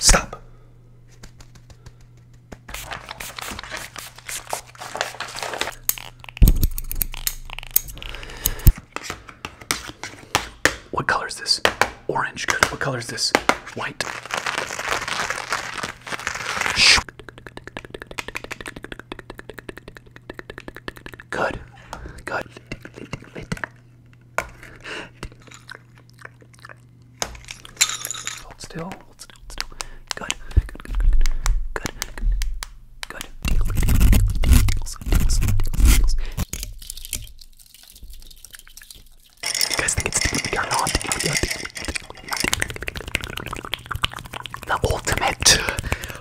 Stop. What color is this? Orange. Good. What color is this? White. Good. Good. Hold still. Hold still. Hold still. Good. Good. Good. Good. Good. Good. Good. You guys think it's tingly or not? The ultimate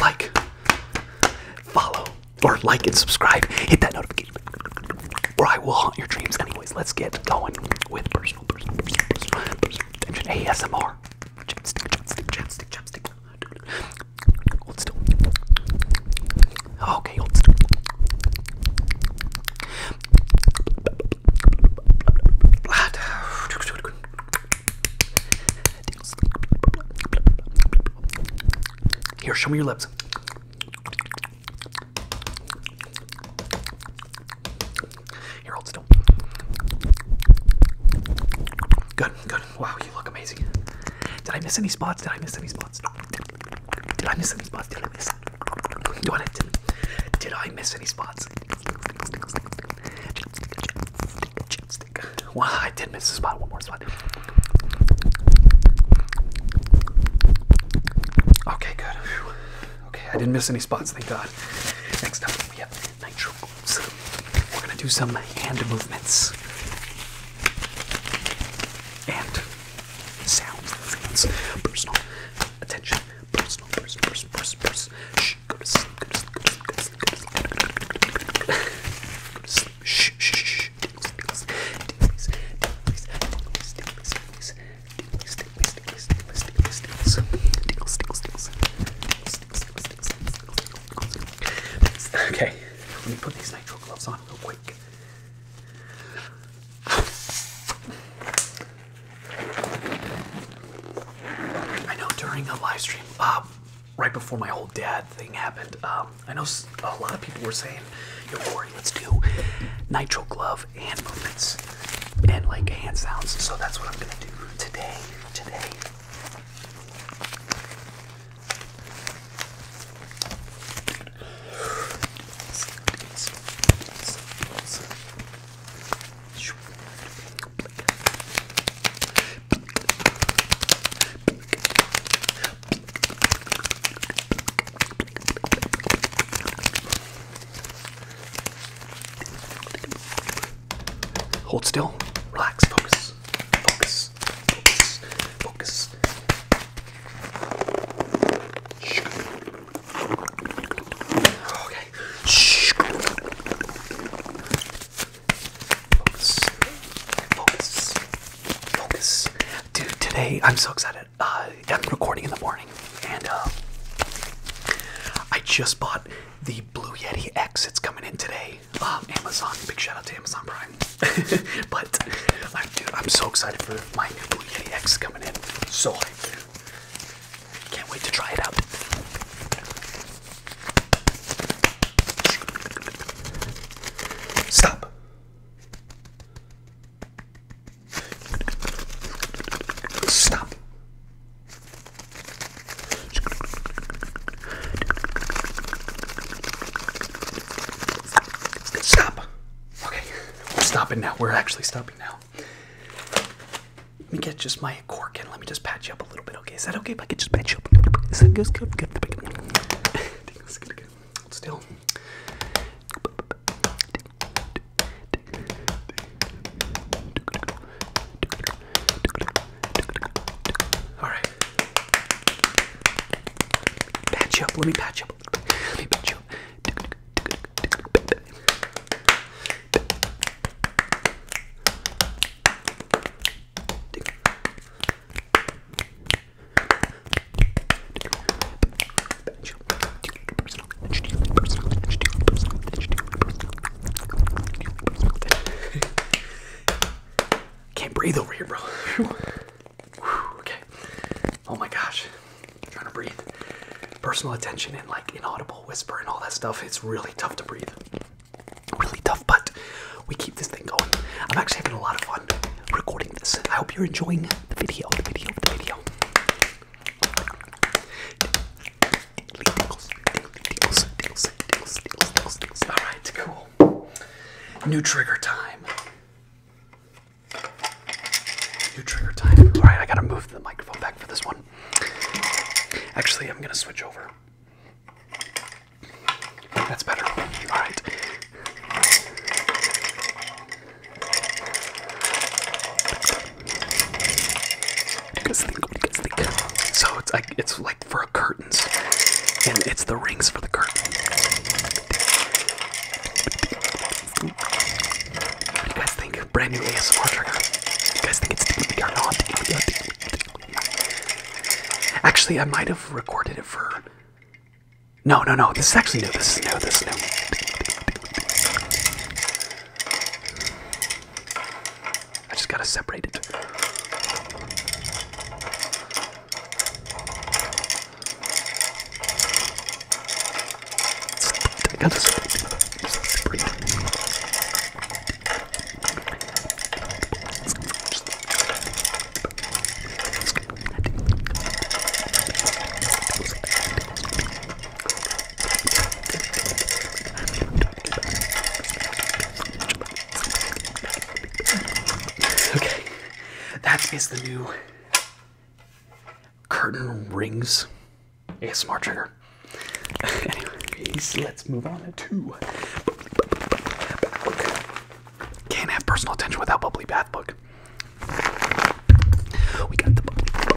like, follow, or like and subscribe. Hit that notification or I will haunt your dreams. Anyways, let's get going with personal, personal, personal, personal, personal attention. ASMR. Chapstick, chapstick, chapstick, chapstick. Hold still. Okay, hold still. Here, show me your lips. Here, hold still. Good, good. Wow, you look amazing. Did I miss any spots? Did I miss any spots? Did I miss any spots? Did I miss? I'm doing it. Did I miss any spots? mistake. I did miss a spot. One more spot. Okay, good. Okay, I didn't miss any spots, thank God. Next up, we have nitro so We're gonna do some hand movements and sounds. sounds. Personal attention. Personal, personal, personal, personal, Shh, Okay, let me put these nitrile gloves on real quick. I know during a live stream, uh, right before my whole dad thing happened, um, I know a lot of people were saying, "Yo, Corey, let's do nitro glove hand movements and like hand sounds." So that's what I'm gonna do today. Today. Hold still, relax, focus, focus, focus, focus. Okay. Focus. Dude, today I'm so excited. Uh, I'm recording in the morning, and uh, I just bought the Blue Yeti X. It's coming in today. Um, Amazon. Big shout out to Amazon Prime. but, I'm, dude, I'm so excited for my new Blue Yeti X coming in. So hyped. Can't wait to try it out. Stop. Stop. Stop. Okay, we're stopping now. We're actually stopping now. Let me get just my let me just patch you up a little bit. Okay, is that okay if I can just patch you up? Is that good? Good. Still. All right. Patch you up. Let me patch you up. Let me patch you up. Can't breathe over here, bro. okay. Oh my gosh. trying to breathe. Personal attention and like inaudible whisper and all that stuff. It's really tough to breathe really tough, but we keep this thing going. I'm actually having a lot of fun recording this. I hope you're enjoying the video, the video, the video. Alright, cool. New trigger time. New trigger time. Alright, I gotta move the microphone back for this one. Actually, I'm gonna switch over. That's better. Alright. What do you guys think? What So it's like it's like for curtains, and it's the rings for the curtain. What do you guys think? Brand new ASMR trigger. You guys think it's deep or Actually, I might have recorded it for. No, no, no. This is actually new. This is new. This is new. I just gotta separate it. I gotta separate it. Okay, that is the new curtain rings. A smart trigger. anyway, let's move on to bath Can't have personal attention without bubbly bath book. We got the bubbly bath book.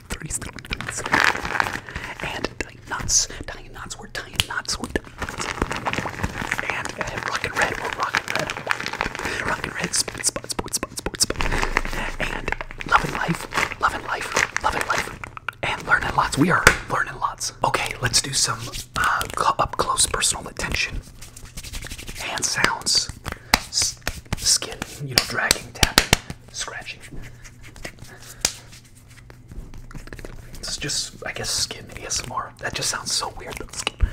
and tying knots, tying knots, we're tying knots, and, uh, and rockin' red, we're rockin' red, rockin' red, spin, spot, sport, spot, sport, spot, and loving life, loving life, loving life, and learning lots. We are learning lots. Okay, let's do some uh, up close personal attention. and sounds. S skin, you know, dragging, tapping, scratching. It's just, I guess, skin ASMR. That just sounds so weird. Though. Skin,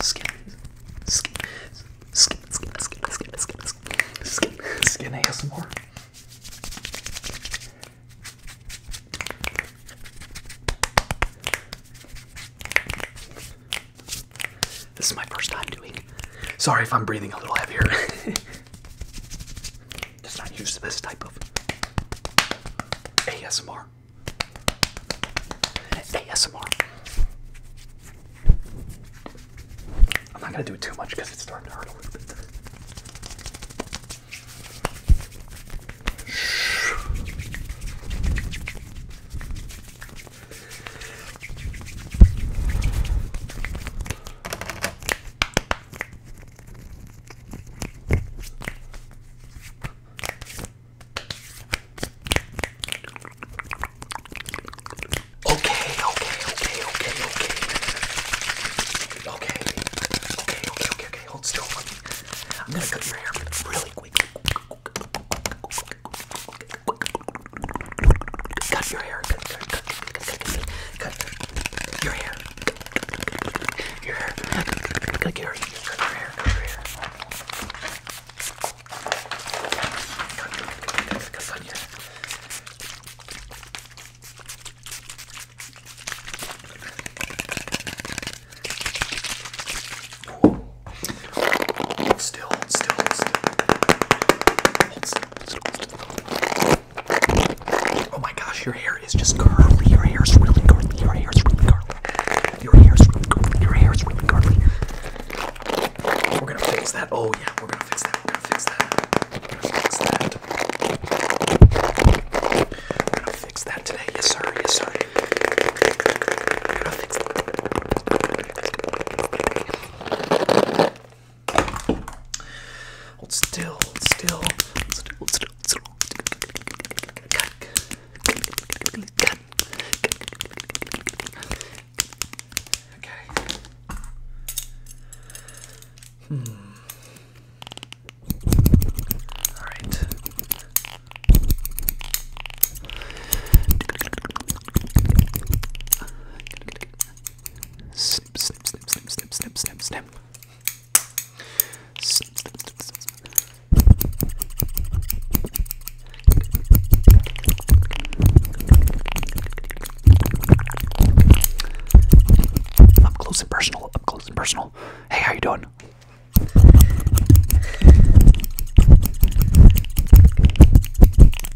skin, skin, skin, skin, skin, skin, skin, skin, skin ASMR. This is my first time doing. Sorry if I'm breathing a little heavier. Just not used to this type of ASMR. ASMR. I'm not gonna do it too much because it's starting to hurt a little bit. Okay, okay, okay, okay, okay. Okay. Okay, okay, okay, okay. Hold still. Let me. I'm gonna cut your hair really quick. Okay. Cut your hair. Cut, cut, cut, cut, cut, cut, cut your hair. Your hair. Cut your hair. Cut your hair. Cut your hair. Cut your hair. Ooh. Oh my gosh, your hair is just curly. Your hair's really curly. Your hair's really curly. Your hair's really curly. Your hair's really curly. We're gonna fix that. Oh yeah, we're gonna fix that. We're gonna fix that. We're gonna fix that. today. Yes, sir. Yes, sir. Hold still, hold still, hold still, hold still, hold still. Cut. Cut. Okay. Hmm. All right. Snip, snip, snip, snip, snip, snip, snip, snip. Snip, snip, snip, snip, snip. Up close and personal, up close and personal. Hey, how you doing?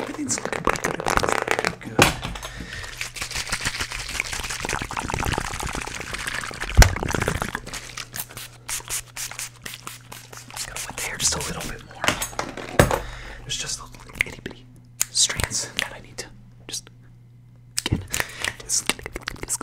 Everything's looking pretty good. Everything's looking good. to wet just a little bit more. There's just little itty bitty strands that I need to just get. Just, just, just,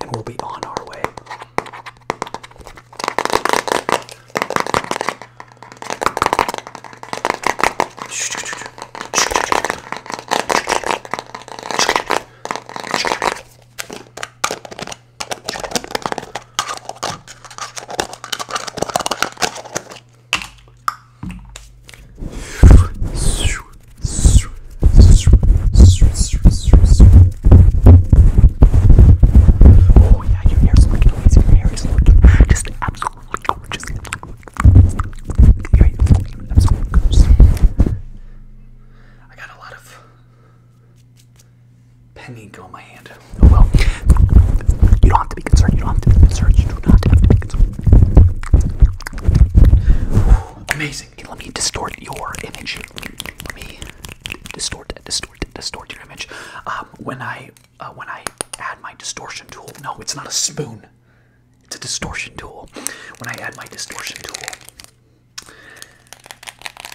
and we'll be on our way. Oh yeah, your hair's looking amazing. Your hair is looking just absolutely gorgeous. I got a lot of pen ink on my hand. Oh well. You don't have to be concerned. You don't have to be concerned. You do not have to be concerned. amazing. let me distort your image. Let me distort, distort, distort your image. Um, when I uh, when I add my distortion tool, no, it's not a spoon. It's a distortion tool. When I add my distortion tool,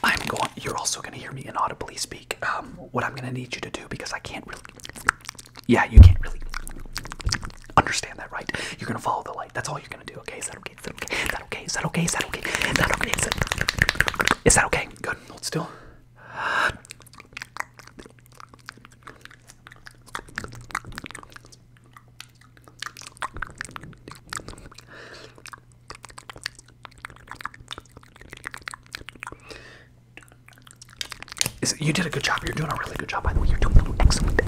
I'm going. You're also going to hear me inaudibly speak. Um, what I'm going to need you to do because I can't really. Yeah, you can't really understand that, right? You're going to follow the light. That's all you're going to do. Okay, is that is that okay? Is that okay? Is that okay? Is that okay? Is that okay? Is that okay? Good. Hold still. Is, you did a good job. You're doing a really good job, by the way. You're doing an excellent, job.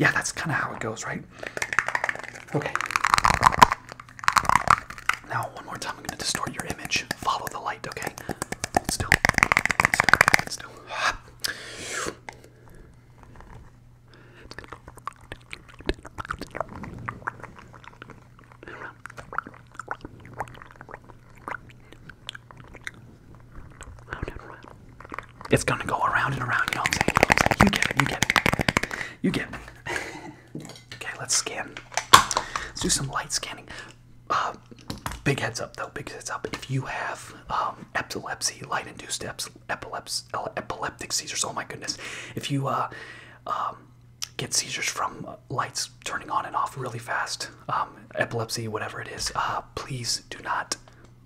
Yeah, that's kind of how it goes, right? Okay. Now, one more time, I'm going to distort your image. Follow the light, okay? still. still. It's gonna go around and around, you know what I'm saying? You get it, you get it. You get it. okay, let's scan. Let's do some light scanning. Uh, big heads up though, big heads up. If you have um, epilepsy, light-induced epileps, uh, epileptic seizures, oh my goodness, if you uh, um, get seizures from lights turning on and off really fast, um, epilepsy, whatever it is, please do not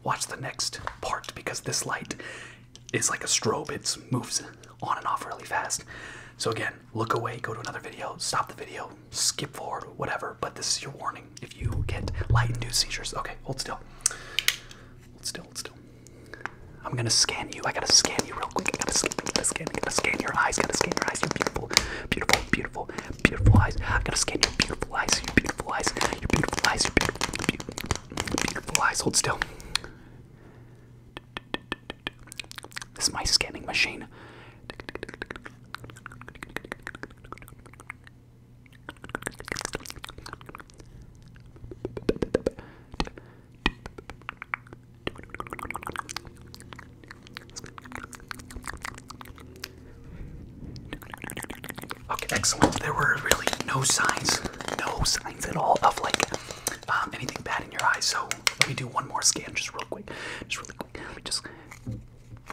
watch the next part because this light is like a strobe. It moves on and off really fast. So again, look away, go to another video, stop the video, skip forward, whatever. But this is your warning. If you get light-induced seizures, okay, hold still. Hold still, hold still. I'm gonna scan you. I gotta scan you real quick. I gotta, I gotta scan. I gotta scan your eyes. I gotta scan your eyes. You're beautiful, beautiful, beautiful, beautiful eyes. I gotta scan your beautiful eyes. Your beautiful eyes. Your beautiful eyes. Your beautiful, beautiful, beautiful eyes. Hold still. This is my scanning machine. Okay, excellent. There were really no signs, no signs at all of like um, anything bad in your eyes. So let me do one more scan, just real quick, just really quick. Let me just.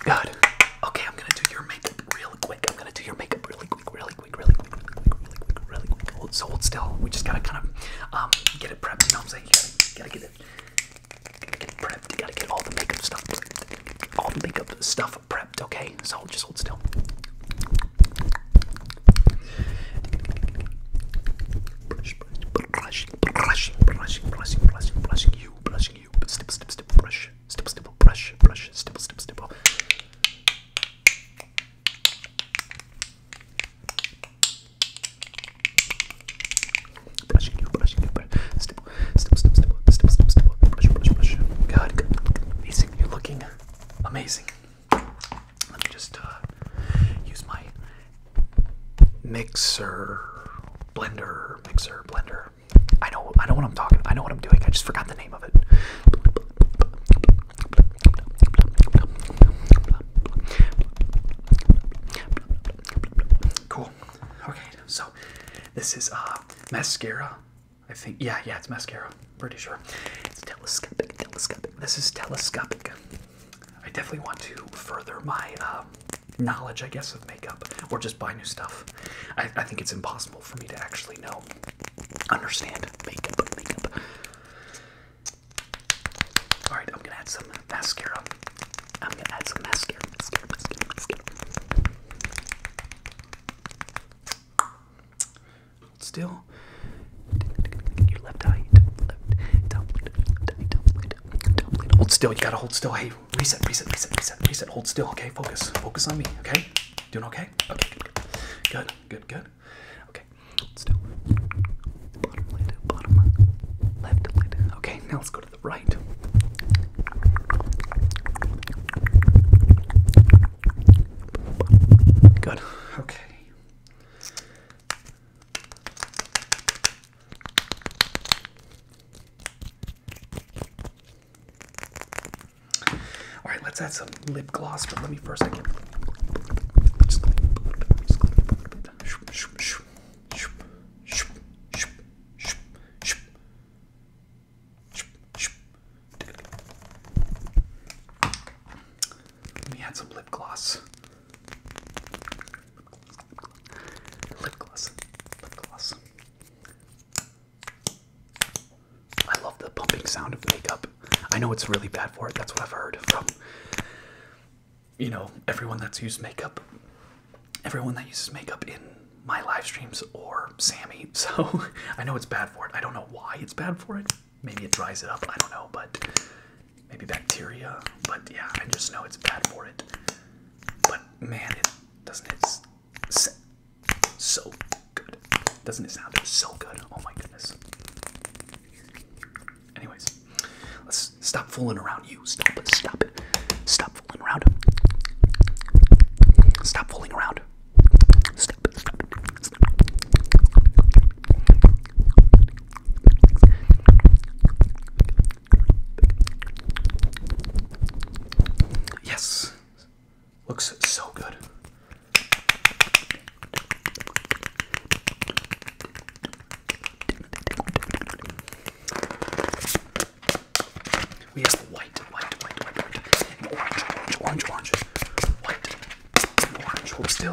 God. Okay, I'm gonna do your makeup real quick. I'm gonna do your makeup really quick, really quick, really quick, really quick, really quick, really quick. Hold, still. We just gotta kind of um, get it prepped. You know what I'm saying? gotta, get it, prepped. gotta get all the makeup stuff, all the makeup stuff prepped. Okay, so just hold still. Brush, brush, brushing, brushing, brushing, brushing, brushing you, brushing you. Stipple, stipple, stipple, brush. Stipple, stipple, brush, brush. Stipple, stipple, stipple. Brushing you, brushing you, brush. Stipple, stipple, stipple, stipple, stipple, stipple, stipple. Brush, brush, brush. God, good, amazing. You're looking amazing. Let me just uh, use my mixer, blender, mixer, blender. I know I know what I'm talking. I know what I'm doing. I just forgot the name of it. Cool. Okay, so this is uh mascara. I think yeah, yeah, it's mascara. Pretty sure. It's telescopic, telescopic. This is telescopic. I definitely want to further my uh uh, knowledge, I guess, of makeup, or just buy new stuff. I, think it's impossible for me to actually know, understand makeup, makeup. i right, I'm gonna add some mascara. I'm gonna add some mascara, still. Your left eye, Hold still. You gotta hold still. Hey, Reset, reset, reset, reset, reset. Hold still, okay? Focus, focus on me, okay? Doing okay? Okay, good, good, good, good. good. Okay, still. Bottom bottom left lid. Okay, now let's go to the right. Good, okay. All right, let's add some lip gloss, but let me first. I can just a little Let me add some lip gloss. Lip gloss. Lip gloss. I love the pumping sound of makeup. I know it's really bad for it. That's what I've heard from, you know, everyone that's used makeup. Everyone that uses makeup in my live streams or Sammy. So I know it's bad for it. I don't know why it's bad for it. Maybe it dries it up. I don't know, but maybe bacteria. But yeah, I just know it's bad for it. But man, it doesn't it sound so good? Doesn't it sound so good? Oh my goodness. Anyways, let's stop fooling around. You stop it. Stop it. Stop fooling around. Stop fooling around. Stop. It, stop, it, stop. Yes, looks so good. We have white, white, white, white, white, and orange, orange, orange, orange, white, and orange. We're still.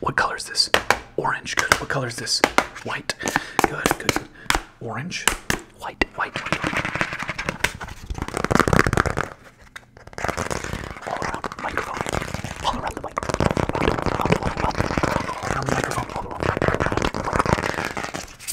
What color is this? Orange. Good. What color is this? White. Good. Good. good. Orange. White. White. White. All around the microphone. All around the microphone. All around the microphone. All around the microphone.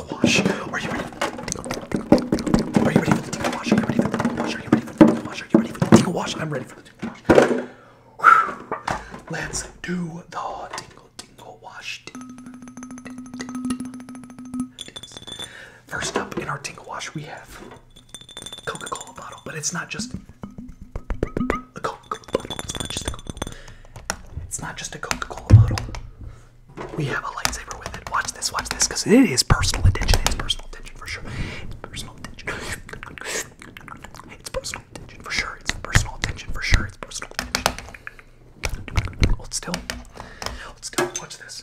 tickle wash? Are you ready? Are you ready for the tickle wash? Are you ready for the tickle wash? Are you ready for the tickle wash? Are you ready for the tickle wash? I'm ready for the tickle wash. Whew. Let's do the tingle tingle wash. First up in our tingle wash, we have Coca-Cola bottle, but it's not just a Coca-Cola Coca-Cola It's not just a Coca-Cola. It's not just a Coca-Cola bottle. We have a lightsaber with it. Watch this, watch this, because it is personal attention. It's personal attention for sure. It's personal attention. It's personal attention for sure. It's personal attention for sure. It's personal attention. Hold still. Hold still. Watch this.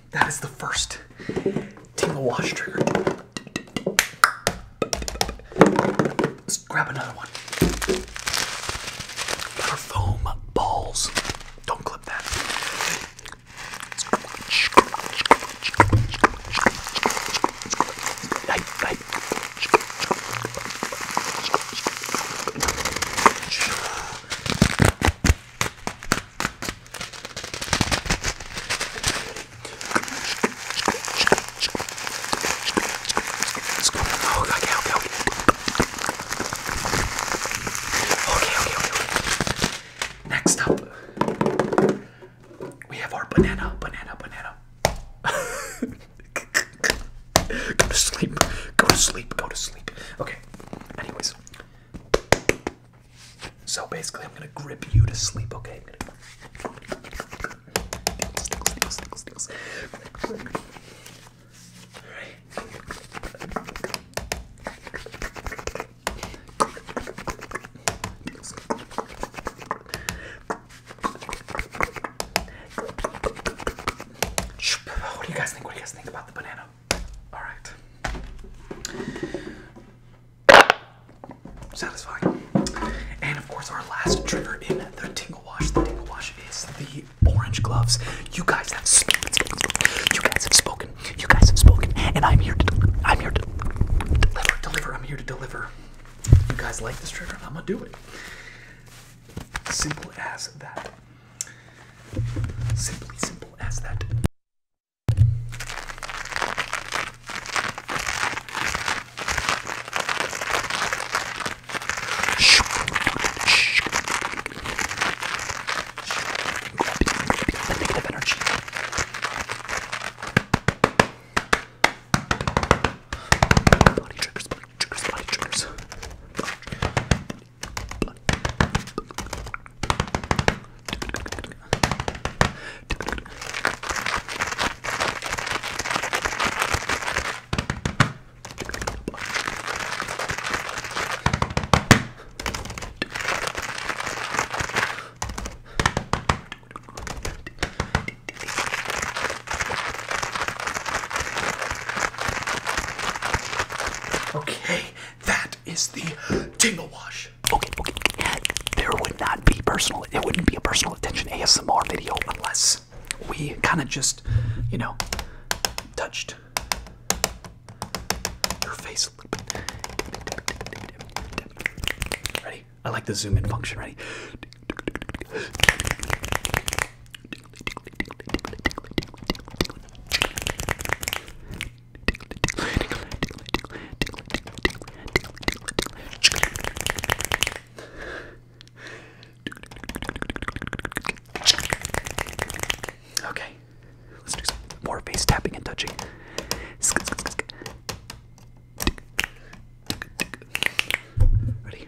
that is the first tingle wash trigger. Let's grab another one. Butterfoam balls. Don't clip that. Let's go. Oh, okay, okay, okay. Okay, okay, okay. Next up, we have our banana, banana, banana. go to sleep. Go to sleep. Go to sleep. Okay. Anyways. So basically, I'm gonna grip you to sleep, okay? What do you guys think? What do you guys think about the banana? All right satisfying. And of course, our last trigger in the tingle wash. The tingle wash is the orange gloves. You guys have spoken. You guys have spoken. You guys have spoken. And I'm here to. I'm here to deliver. Deliver. I'm here to deliver. You guys like this trigger? I'm gonna do it. Simple as that. Simply simple as that. Negative energy. Body triggers, body triggers, body triggers. Body. Body. Okay, that is the tingle wash. Okay, okay, okay. There would not be personal, it wouldn't be a personal attention ASMR video unless we kind of just, you know, touched your face a little bit. Ready? I like the zoom in function, ready? Okay, let's do some more face tapping and touching. Ready?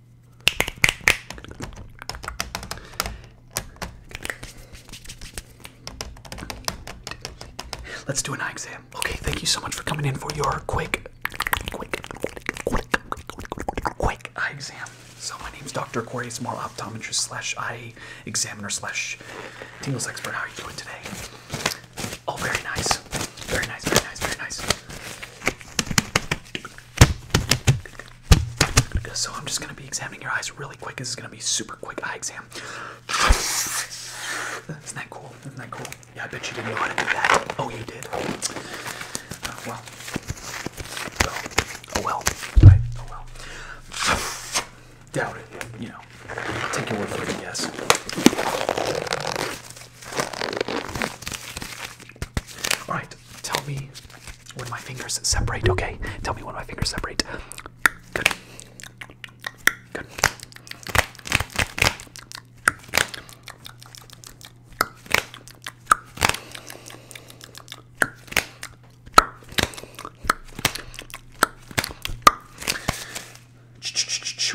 Let's do an eye exam. Okay, thank you so much for coming in for your quick, quick, quick, quick, quick, eye exam. So my name's Dr. Aquarius more optometrist slash eye examiner slash tingles expert. How are you doing today? Oh, very nice. Very nice, very nice, very nice. So I'm just gonna be examining your eyes really quick. This is gonna be super quick eye exam. Isn't that cool? Isn't that cool? Yeah, I bet you didn't know how to do that. Oh, you did. Oh well. Oh, well. Oh well. Doubt it. You know. take your word for it. Yes. All right. Tell me when my fingers separate, okay? Tell me when my fingers separate. Good. Good.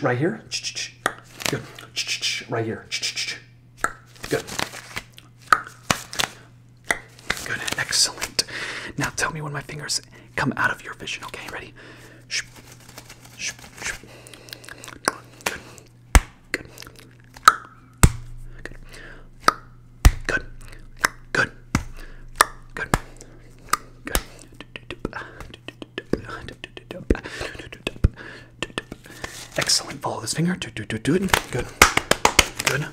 Right here. Good. Right here. Good. Good, excellent. Now tell me when my fingers come out of your vision, okay? Ready? Good. Good. Good. Good. Good. Good. Excellent. Follow this finger. Do, do, do, do it. Good. Good.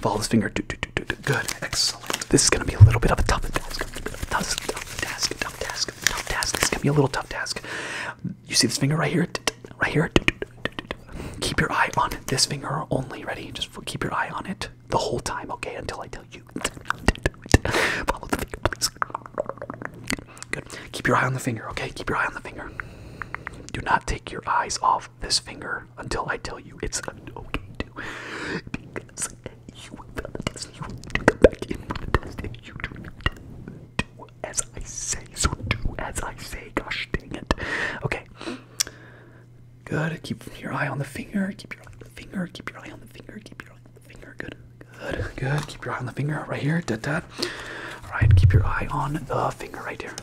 Follow this finger. Do, do, do, do, do. Good. Excellent. This is going to be a little bit of a tough task. Tough task. Tough task. Tough task. This is going to be a little tough task. You see this finger right here? Right here? Keep your eye on this finger only. Ready? Just keep your eye on it the whole time, okay? Until I tell you. Follow the finger, please. Good. Keep your eye on the finger, okay? Keep your eye on the finger. Do not take your eyes off this finger until I tell you it's okay to. Because you failed you to come back in for you do do as I say. So do as I say. Gosh dang it. Okay. Good. Keep your eye on the finger. Keep your eye on the finger. Keep your eye on the finger. Keep your eye on the finger. Good. Good. Good. Keep your eye on the finger right here. Da da all right, keep your eye on the finger right here.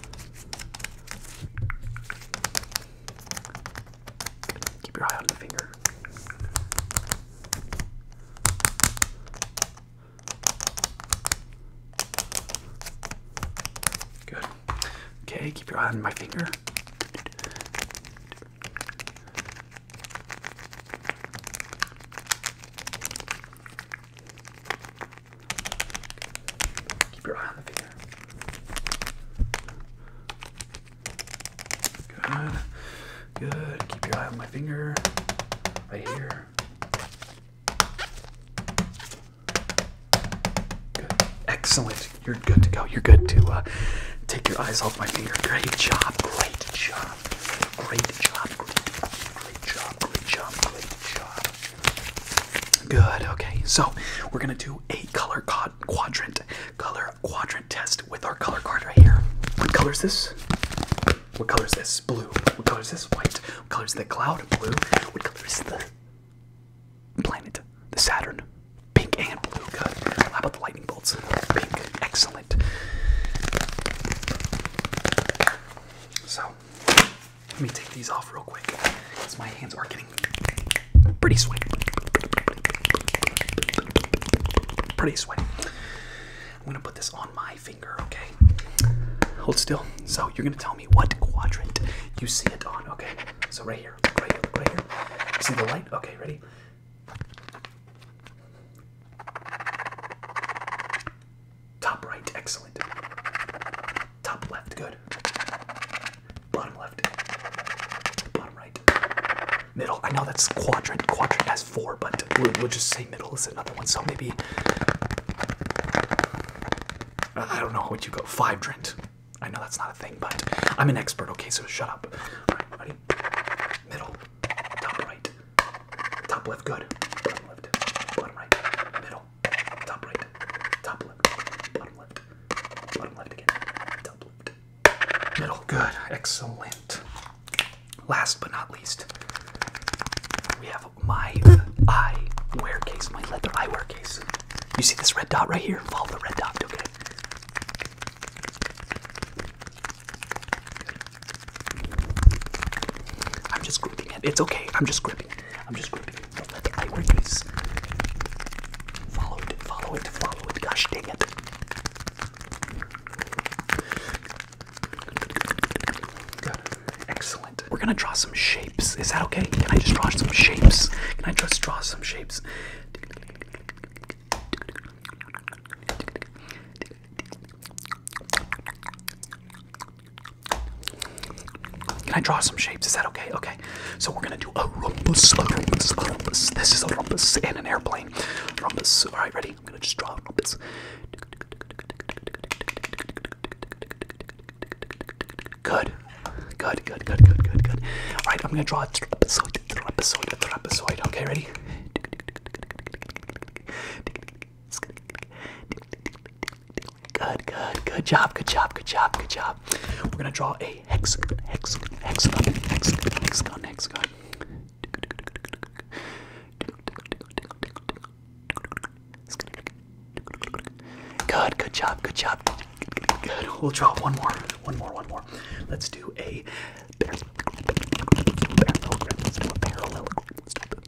Keep your eye on the finger. Good. Okay, keep your eye on my finger. Keep your eye on the finger. Good. Good. Keep your eye on my finger. Right here. Good. Excellent. You're good to go. You're good to uh, take your eyes off my finger. Great job. Great job. Great job. Great job. Great job. Great job. Good. Okay. So we're gonna do a color quadrant, color quadrant test with our color card right here. What color is this? What color is this? Blue. What color is this? White. What color is the cloud? Blue. What color is the planet? The Saturn. Pink and blue. Good. How about the lightning bolts? Pink. Excellent. So let me take these off real quick because my hands are getting pretty sweaty. Pretty sweaty. I'm gonna put this on my finger, okay? Hold still. So you're gonna tell me what quadrant you see it on, okay? So right here, right here, right here. See the light? Okay, ready? Top right, excellent. Top left, good. Bottom left, bottom right, middle. I know that's quadrant. Quadrant has four, but we'll, just say middle is another one. So maybe I don't know what you go. five? Fivedrant. I know that's not a thing, but I'm an expert. Okay, so shut up. All right, ready? Middle, top right, Top left, good. Bottom left, bottom right, middle, top right, top left, bottom left, bottom left again, top left, middle, good, excellent. Last but not least, we have my eyewear case, my leather eyewear case. You see this red dot right here? Follow the red dot, okay? I'm just gripping it. It's okay. I'm just gripping. I'm just gripping. Don't let the light release. Follow it. Follow it. Follow it. Gosh dang it. Excellent. We're gonna draw some shapes. Is that okay? Can I just draw some shapes? Can I just draw some shapes? Can I draw some shapes? Is that okay? Okay. So we're gonna do a rumpus, a rumpus, a rumpus. This is a rumpus and an airplane. Rumpus. All right, ready? I'm gonna just draw a rumpus. Good. Good, good, good, good, good, good. All right, I'm gonna draw a trapezoid, a trapezoid, a trapezoid. Okay, ready? Good, good, good job, good job, good job, good job. We're gonna draw a hexagon, hexagon, hexagon, hexagon, hexagon, hexagon. Good, good job, good job. Good. We'll draw one more, one more, one more. Let's do a parallelogram.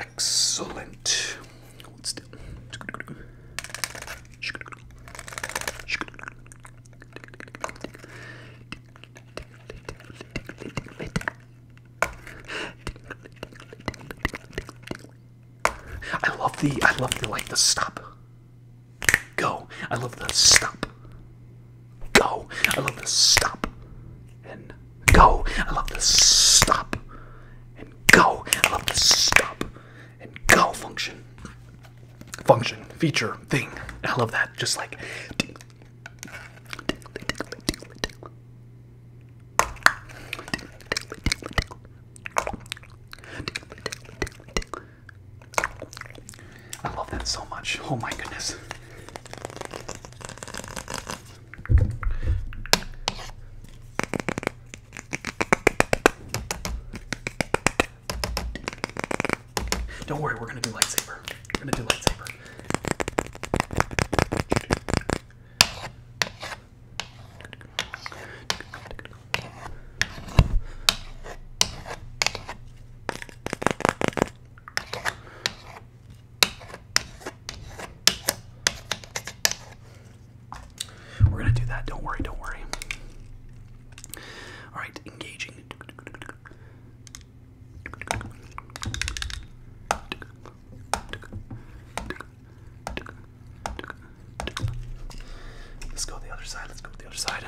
Excellent. What's that? I love the I love the like the stop go. I love the stop go. I love the stop and go. I love the stop and go. I love the stop and go function. Function, feature, thing. I love that. Just like I love that so much. Oh my goodness. Don't worry, we're gonna do lightsaber. We're gonna do lightsaber. We're gonna do that. Don't worry. Don't worry. All right, engaging. Let's go the other side. Let's go the other side.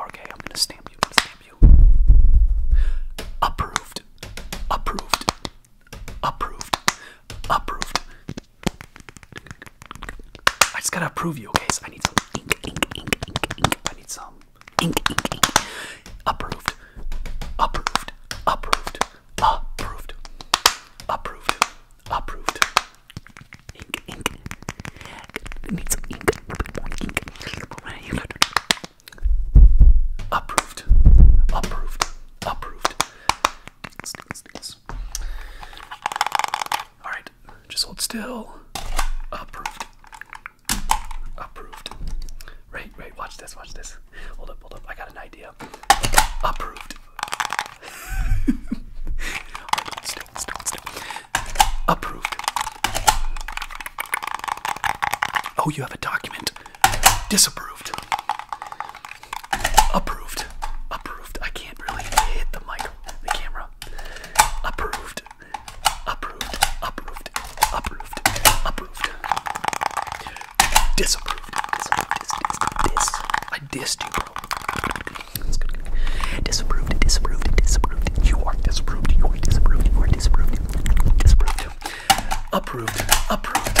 Okay, I'm gonna stamp you. Stamp you. Approved. Approved. Approved. Approved. I just gotta approve you, okay? So I need some ink, ink, ink, ink, ink. I need some ink, ink, ink. Approved, approved, approved, approved, approved, approved. Ink, ink. I need some ink, a little bit more ink. Approved, approved, approved. Let's do this, do this. All right, just hold still. Approved. Approved. Right, right. Watch this. Watch this. Hold up, hold up. I got an idea. Approved. right, still, still, still. Approved. Oh, you have a document. Disapproved. Approved. Approved. I can't really hit the mic, the camera. Approved. Approved. Approved. Approved. Approved. Disapproved. Disapproved. Dis, dis, dis. I dissed you, bro. That's good. Disapproved. Disapproved. Disapproved. You are disapproved. You are disapproved. You are disapproved. Disapproved. Approved. Approved.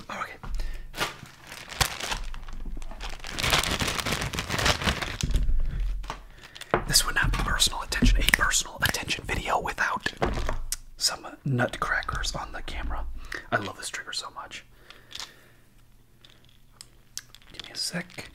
Oh, okay. This would not be personal attention, a personal attention video without some nutcrackers on the camera. I love this trigger so much. Give me a sec.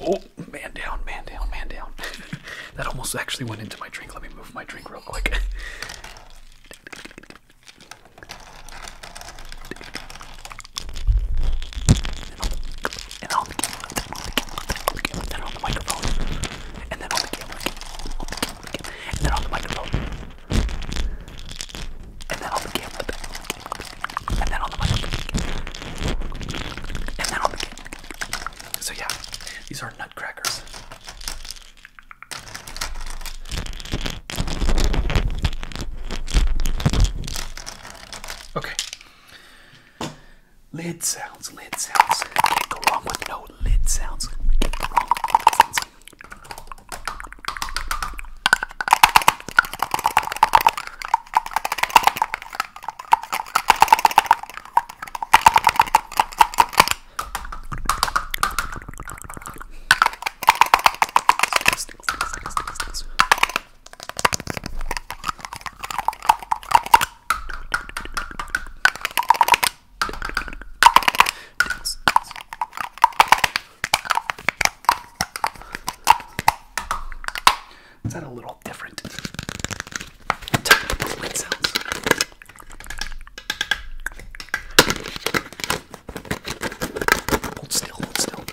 Oh, man down, man down, man down. that almost actually went into my drink. Let me move my drink real quick. and on the camera, then on the camera, then on the camera, then on the microphone, and then on the camera, and then on the microphone, and then on the camera, and then on the microphone, and then on the camera. So yeah, these are nutcrackers. Okay, Lid sounds, lid sounds. Can't go wrong with no lid sounds. lid sounds. Is that a little different? It sounds. Hold still, hold still.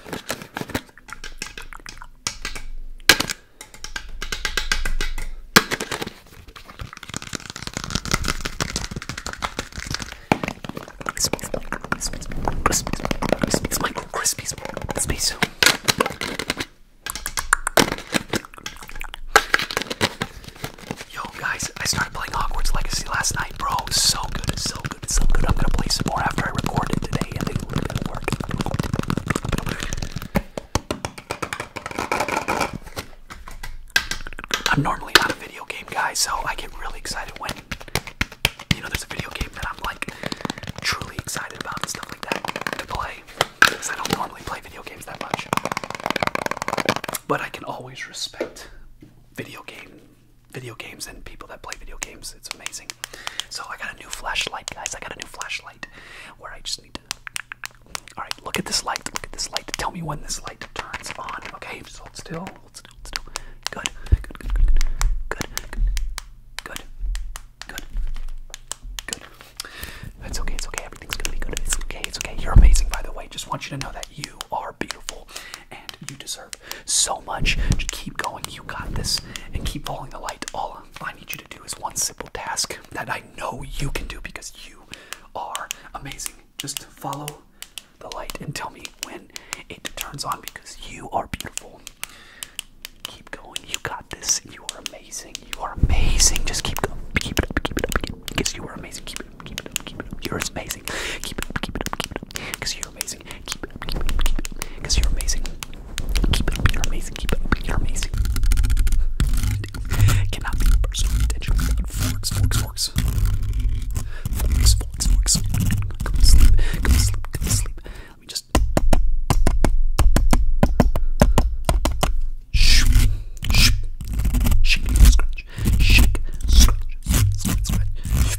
Yo guys, I started playing Hogwarts Legacy last night, bro. So good, so good, some good. I'm gonna play some more after I record it today and do a little bit work. I'm normally not a video game guy, so I get really excited when you know there's a video game that I'm like truly excited about and stuff like that to play. Because I don't normally play video games that much. But I can always respect video game video games and people that play video games. It's amazing. So I got a new flashlight, guys. I got a new flashlight where I just need to. All right, look at this light. Look at this light. Tell me when this light turns on. Okay, just hold still. Hold still. Hold still. Good. Good. Good. Good. Good. Good. Good. Good. It's okay. It's okay. Everything's gonna be good. It's okay. It's okay. You're amazing, by the way. Just want you to know that you are beautiful and you deserve so much. Just keep going. You got this. And keep following the light. All I need you to do is one simple task that I know you can do because you are amazing. Just follow the light and tell me when it turns on because you are beautiful. Keep going. You got this. You are amazing. You are amazing. Just keep going. Keep it up. Keep it up. Keep it up. Because you are amazing. Keep it up. Keep it up. Keep it up. You're amazing. Keep it up. Keep it up. Keep it up. Because you you're amazing. Keep it up, you're amazing. Keep it up, you're amazing. Keep it up, you're amazing. Cannot be personal attention forks, forks, forks. Forks, forks, forks. Come to sleep, come to sleep, come to sleep. Let me just. Shh, shh, shake, scratch, shake, scratch, scratch, scratch.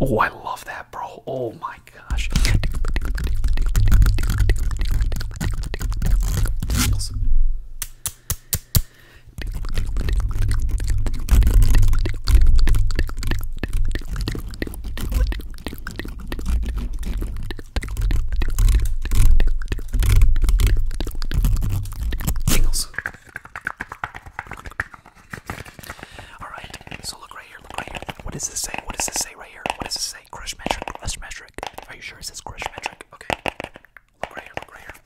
oh, I love that, bro. Oh my gosh. Tingles. Alright, so look right here, look right here. What does this say? What does this say right here? What does this say? Crush metric, crush metric. Are you sure it says crush metric? Okay. Look right here, look right here.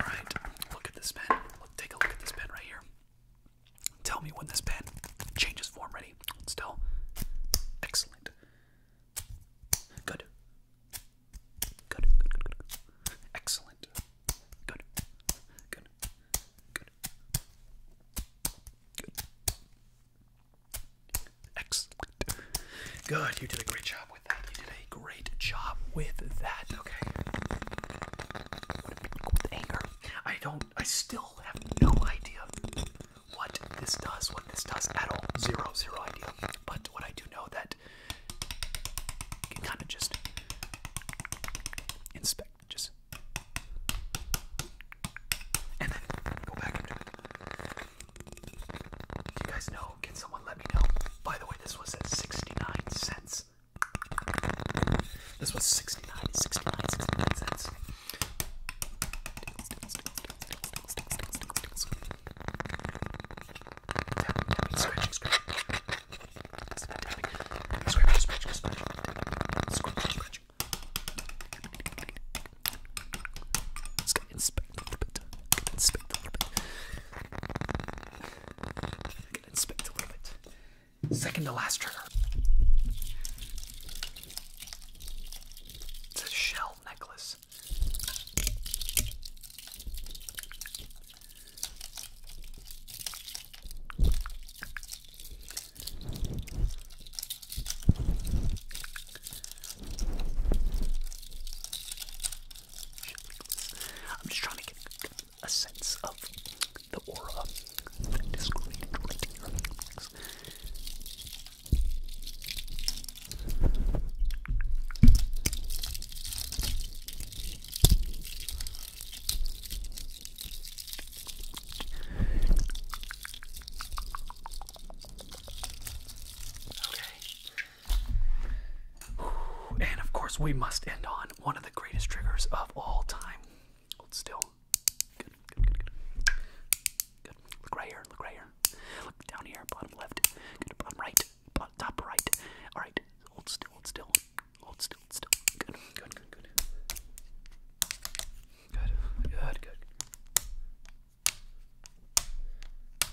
Alright, look at this pen. Look, take a look at this pen right here. Tell me when this pen changes form. Ready? Still? Excellent. Good. Good, good, good, Excellent. Good. Good. Good. Good. Excellent. Good. You did a great job with that. You did a great job with that. Okay. With anger. I don't I still all have no idea what this does, what this does at all. Zero, zero idea. But what I do know that you can kind of just inspect, just and then go back and do it. You guys know? Can someone let me know? By the way, this was at 69 cents. This was 69, 69, 69 cents. Scratching, scratching. Scratching, scratching, scratching. Scratching, scratching. Let's go inspect a little bit. Inspect a little bit. Inspect a little bit. Second to last trigger. It's a shell necklace. I'm just trying to get a sense of the aura And of course, we must end on one of the greatest triggers of all time. Hold still. Good, good, good, good. Good. Look right here. Look right here. Look down here. Bottom left. Good. Bottom right. Bottom, top right. All right. Hold still. Hold still. Hold still. Hold still. Good. Good. Good. Good. Good. Good. Good. Good.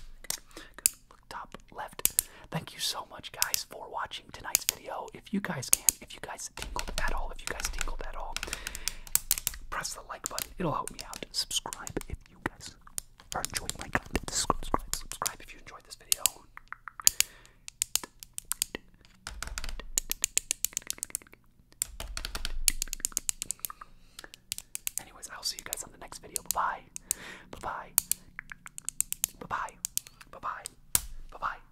Good. Look top left. Thank you so much, guys, for watching watching tonight's video. If you guys can, if you guys tingled at all, if you guys tingled at all, press the like button. It'll help me out. Subscribe if you guys are enjoying my content. Subscribe, subscribe if you enjoyed this video. Anyways, I'll see you guys on the next video. Bye bye. Bye bye. Bye bye. Bye bye. Bye bye.